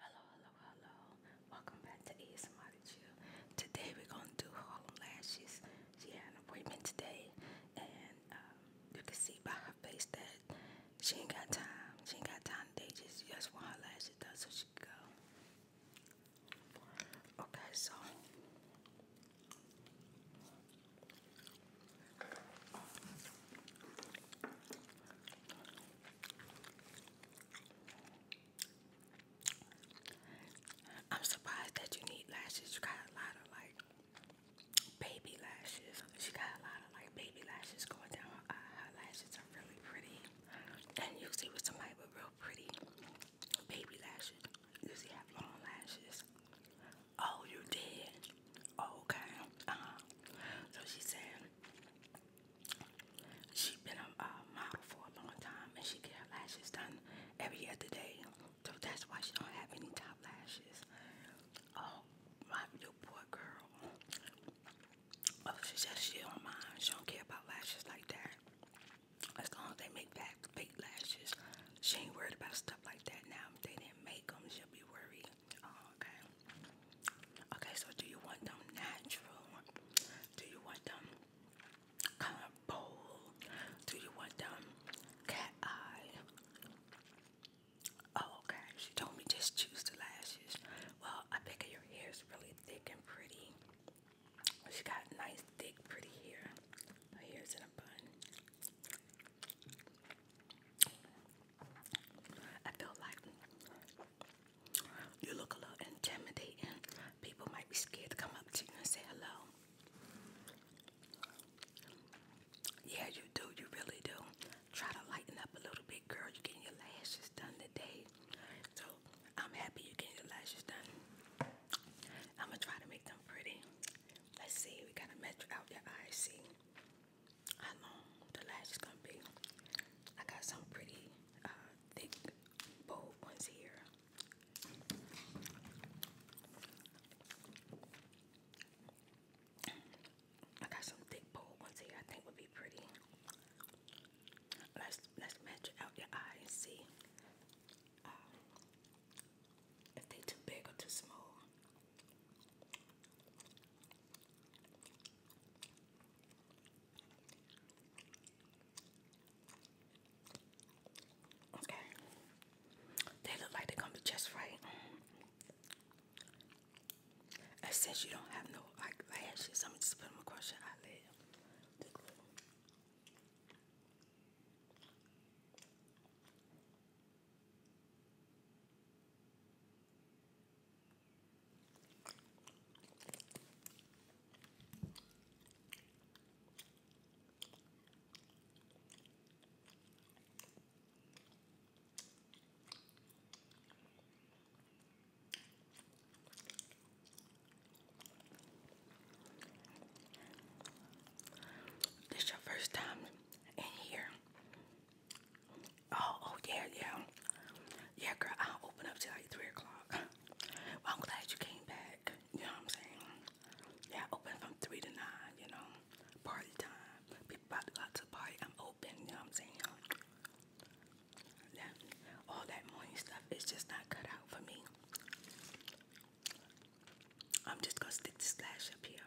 Hello, hello, hello. Welcome back to ASMR Chill. Today we're going to do Harlem Lashes. She had an appointment today, and um, you can see by her face that she ain't got time. She ain't got time today. Just, just want her lashes done so she can go. Okay, so. I'm surprised that you need lashes. You got a lot of like baby lashes. She got a lot of like baby lashes going down uh, her lashes are really pretty. And usually with somebody with real pretty baby lashes, you usually have long lashes. Oh, you did? okay. Uh-huh. So she said She's been a, model for a long time, and she get her lashes done every other day. So that's why she don't have any top lashes. Oh, my your poor girl. Oh, she says she don't She don't care about lashes like that. As long as they make back fake lashes, she ain't worried about stuff like that now. If they didn't make them, she'll be worried. Oh, okay. Okay, so do you want them natural? Do you want them kind of Do you want them cat eye? Oh, okay. She told me just choose the lashes. Well, I think your hair is really thick and pretty. She got nice, thick, pretty hair. Her hair's in a bun. I feel like you look a little intimidating. People might be scared to come up to you and say hello. Yeah, you do. You really do. Try to lighten up a little bit, girl. you getting your lashes done today. So I'm happy you're getting your lashes done. I'm going to try to make them pretty. Let's see. We got to measure out your eyes. See, how long the lash gonna be. I got some pretty uh, thick, bold ones here. I got some thick, bold ones here. I think would be pretty. Let's let's match out your eye and see um, if they too big or too small. Okay. They look like they come to just right. since you don't have no like lashes, I'm just put them across your eyelid. This your first time in here. Oh, oh yeah, yeah. Yeah, girl, I'll open up till like three o'clock. I'm glad you came back. You know what I'm saying? Yeah, open from three to nine, you know. Party time. People about to go to party, I'm open, you know what I'm saying? That, all that morning stuff is just not cut out for me. I'm just gonna stick to slash up here.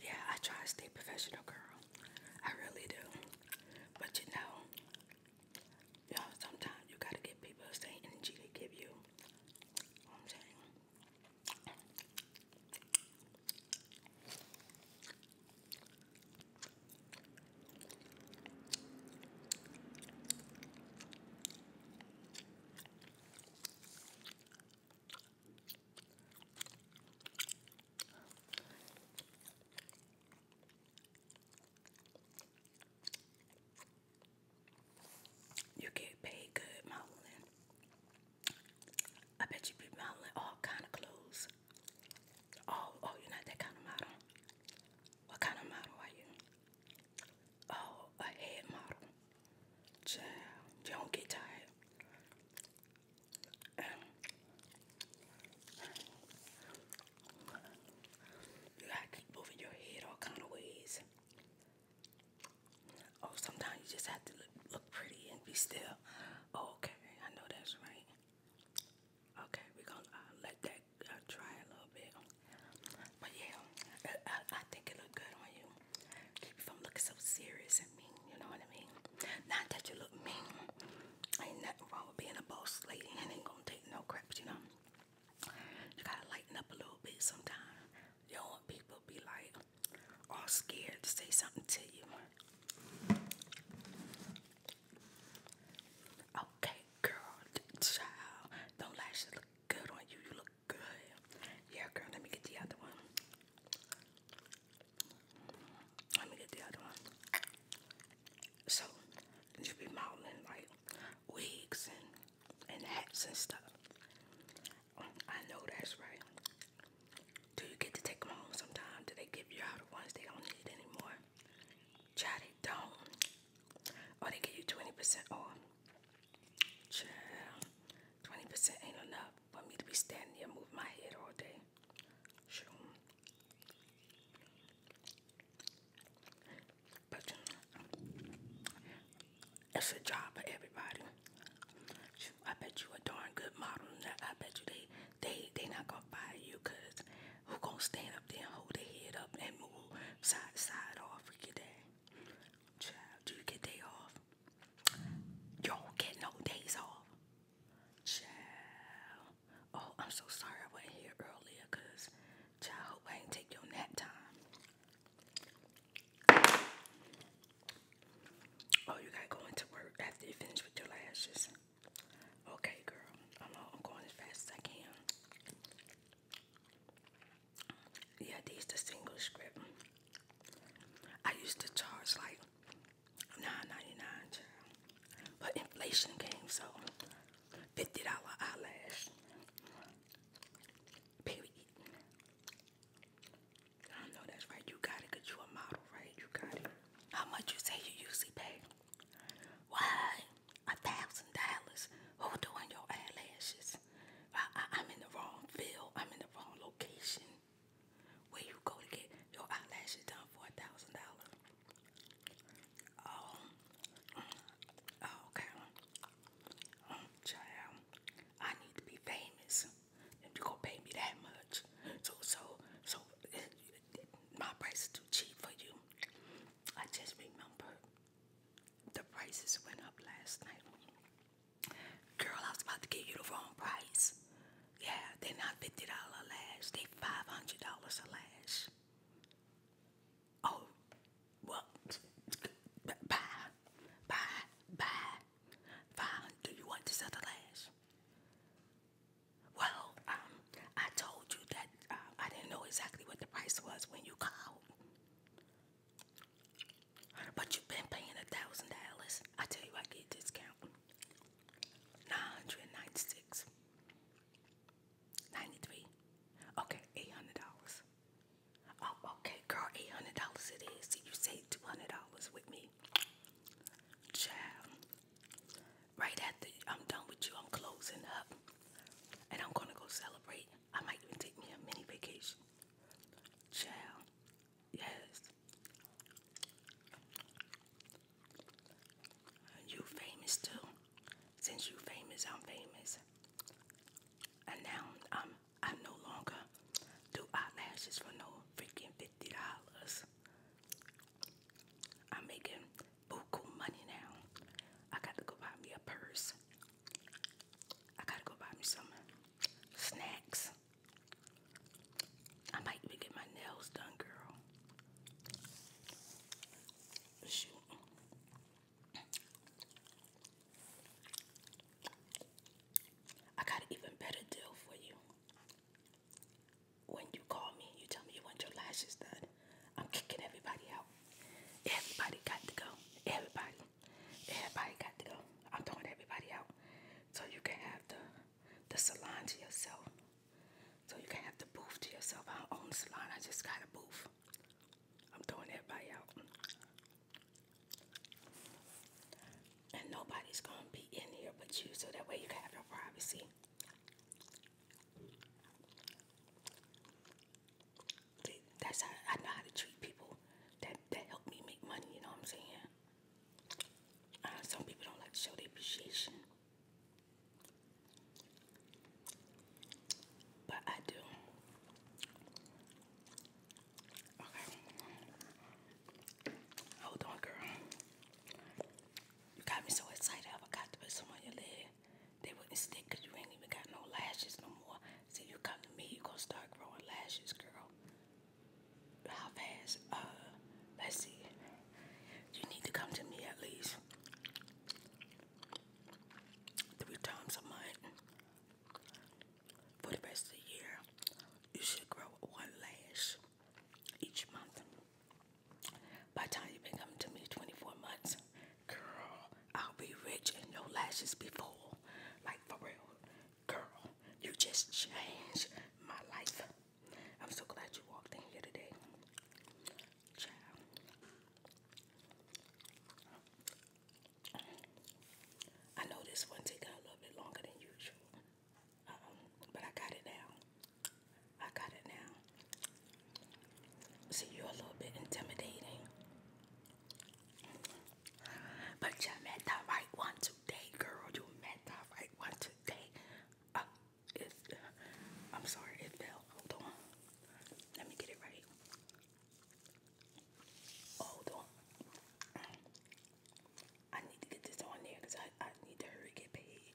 yeah, I try to stay professional, girl. I really do. But you know, you know, sometimes you gotta give people the same energy they give you. you know what I'm saying. You get paid good modeling. I bet you be modeling all kind of clothes. Oh, oh, you're not that kind of model. What kind of model are you? Oh, a head model. Child, you don't get tired. You gotta keep moving your head all kind of ways. Oh, sometimes you just have to look, pretty and be still. Oh, okay, I know that's right. Okay, we gonna uh, let that uh, a little bit. But yeah, I think it look good on you. Keep from looking so serious and mean, you know what I mean? Not that you look mean. Ain't nothing wrong with being a boss lady and ain't gonna take no crap, you know. You gotta lighten up a little bit sometimes. You all want people be like all scared to say something to you. Okay, girl, child, don't lie. look good on you. You look Good. Yeah, girl, let me get the other one. Let me get the other one. So, you be modeling like wigs and, and hats and stuff. I know that's right. Do you get to take them home sometimes? Do they give you out the ones they don't need anymore? Chatty don't. Or they give you 20% off. Child, 20% ain't enough for me to be standing here moving my head all day. Sure. But it's a job for everybody. I bet you a darn good model. I bet you they they they not gonna fire you cause who gonna stand up there and hold their head up and move side to side all freaking day? Child, do you get day off? Y'all get no days off. Child. Oh, I'm so sorry I wasn't here earlier because child hope I ain't take your nap time. Oh, you gotta go into work after you finish with your lashes. Okay, girl. I'm, going as fast as I can. Yeah, these the single script. I used to charge like nine ninety nine, dollars But inflation came, so $50 eyelash. Period. I know that's right. You got it you a model, right? You got it. How much you say you usually pay? Why? A thousand dollars. Who doing your eyelashes? I, am in the wrong field. I'm in the wrong location. Where you go to get your eyelashes done for a thousand dollars? Oh, mm, oh, okay. Mm, child, I need to be famous. If you gonna pay me that much, so so so, uh, my price is too cheap for you. I just remember the prices went up last night. Girl, I was about to give you the wrong price. Yeah, they're not $50 a lash. They $500 a lash. Oh, well, bye, bye, bye. Fine, do you want this other lash? Well, um, I told you that uh, I didn't know exactly what the price was when you called. But you've been paying a thousand dollars. I tell you, I get a discount. Nine hundred ninety-six. Ninety-three. Okay, eight hundred dollars. Oh, okay, girl, eight hundred dollars it is. See, you saved two hundred dollars with me, child. Right after I'm done with you, I'm closing up, and I'm gonna go celebrate I might even take me a mini vacation. Child, yes. You famous too. Since you famous, I'm famous. And now I'm I no longer do eyelashes for no freaking fifty dollars. I'm making buku money now. I got to go buy me a purse. I gotta go buy me some snacks. I might even get my nails done, girl. Shoot. I got an even better deal for you. When you call me, and you tell me you want your lashes done. I'm kicking everybody out. Everybody got to go. Everybody. Everybody got to go. I'm throwing everybody out. So you can have the the salon to yourself. So you can have the booth to yourself. I don't own the salon. I just got a booth. I'm throwing everybody out. And nobody's gonna be in here but you, so that way you can have your privacy. That's how I know how to treat people that that help me make money. You know what I'm saying? Uh, some people don't like to show their appreciation, but I do. Okay, hold on, girl. You got me so excited. I forgot to put some on your lid. They wouldn't stick you ain't even got no lashes no more. See, you come to me, you're gonna start growing lashes, girl. How fast? Uh, let's see. You need to come to me at least three times a month for the rest of the year. You should grow one lash each month. By time you've been coming to me 24 months, Girl, I'll be rich and no lashes be full. Like for real. Girl, you just changed my life. I'm so glad you walked in here today. Child. I know this one taking a little bit longer than usual. Uh-uh. but I got it now. I got it now. See, you're a little bit intimidating. But you met the right one today, girl. You met the right one today. Uh, it, uh, I'm sorry, it fell. Hold on. Let me get it right. Hold on. I need to get this on there because I, I need to hurry get paid.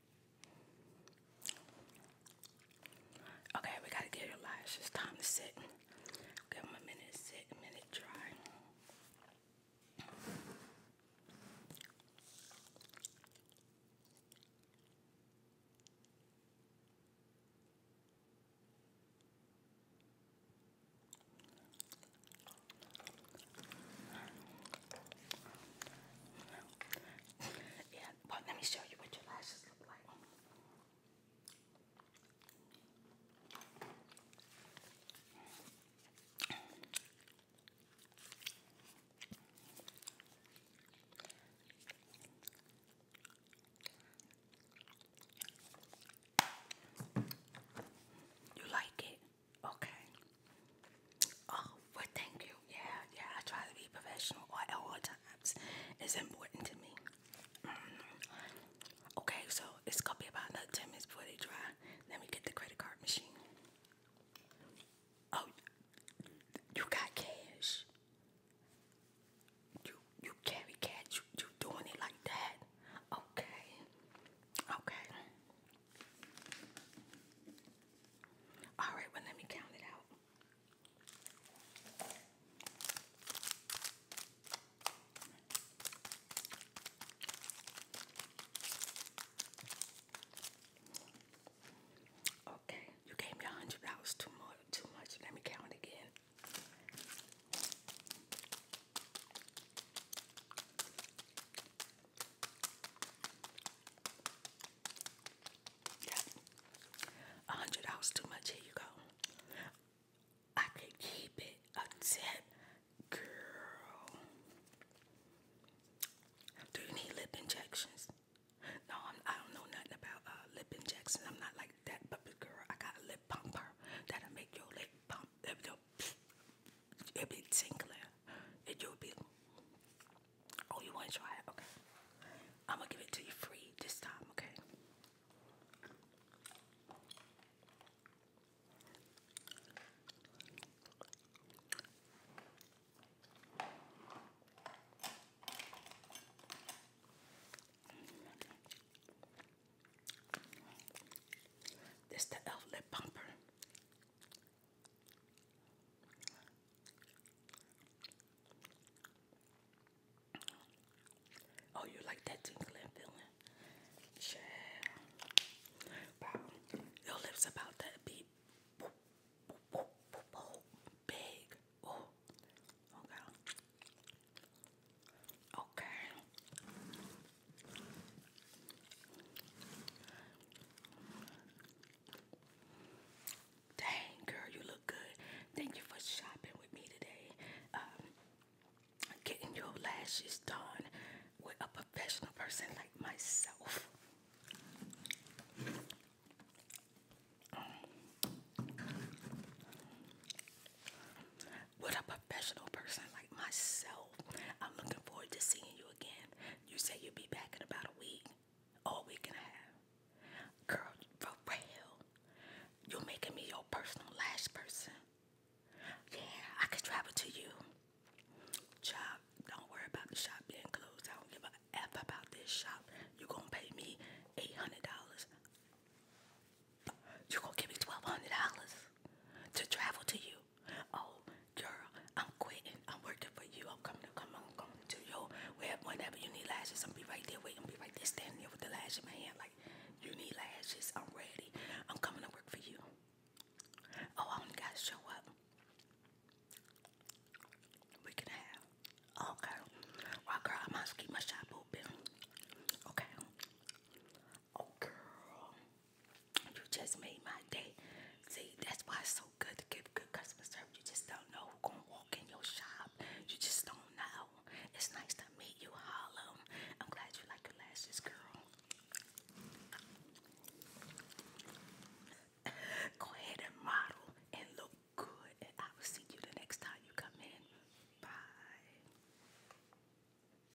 Okay, we gotta get your lash. It's time to sit. Give them a minute sit, a minute dry. Yeah, but let me show you what your lashes look like. You like it? Okay. Oh, well, thank you. Yeah, yeah, I try to be professional at all times. It's important to me. Mm-hmm. Okay, so it's gonna be about another 10 minutes before they dry. Let me get the credit card machine. Oh, you got cash. You you carry cash. You, you doing it like that? Okay. Okay. All right, well, let me count it out. Okay, you gave me a hundred dollars too much. Too much. Let me count again. A hundred dollars too much. Here you go. I could keep it a tip, girl. Do you need lip injections? No, I'm, I am do not know nothing about uh, lip injections. I'm not like that, but girl, I got a lip pumper that'll make your lip pump. Lip, your, it will be tingling. It will be. Oh, you want to try it? Okay. I'm gonna give it to you free this time. Okay. This the elf lip pumper. Oh, you like that tingling feeling? Yeah. Your lips about that big. Big. Oh. Okay. Okay. Dang, girl, you look good. Thank you for shopping with me today. Um, getting your lashes done with a professional person like myself with a professional person like myself. I'm looking forward to seeing you again. You said you would be back in about a week, or a week and a half. Girl, for real, you're making me your personal lash person. Yeah, I could travel to you. Job, don't worry about the shop being closed. I don't give a F about this shop. You're gonna pay me $800. You're gonna give me $1,200 to travel to you. Oh, girl, I'm quitting. I'm working for you. I'm coming to coming to you. Whenever you need lashes, I'm be right there waiting. Be right there standing there with the lash in my hand. Like, you need lashes. I'm ready. I'm coming to work for you. Oh, I only gotta show up. We can have. Okay. Well, girl, I must keep my shop open. Okay. Oh, girl, you just made my day. See, that's why it's so good to give good customer service. You just don't know who's gonna walk in your shop. You just don't know. It's nice to meet you, Harlem. I'm glad you like your lashes, girl. Go ahead and model and look good, and I will see you the next time you come in. Bye.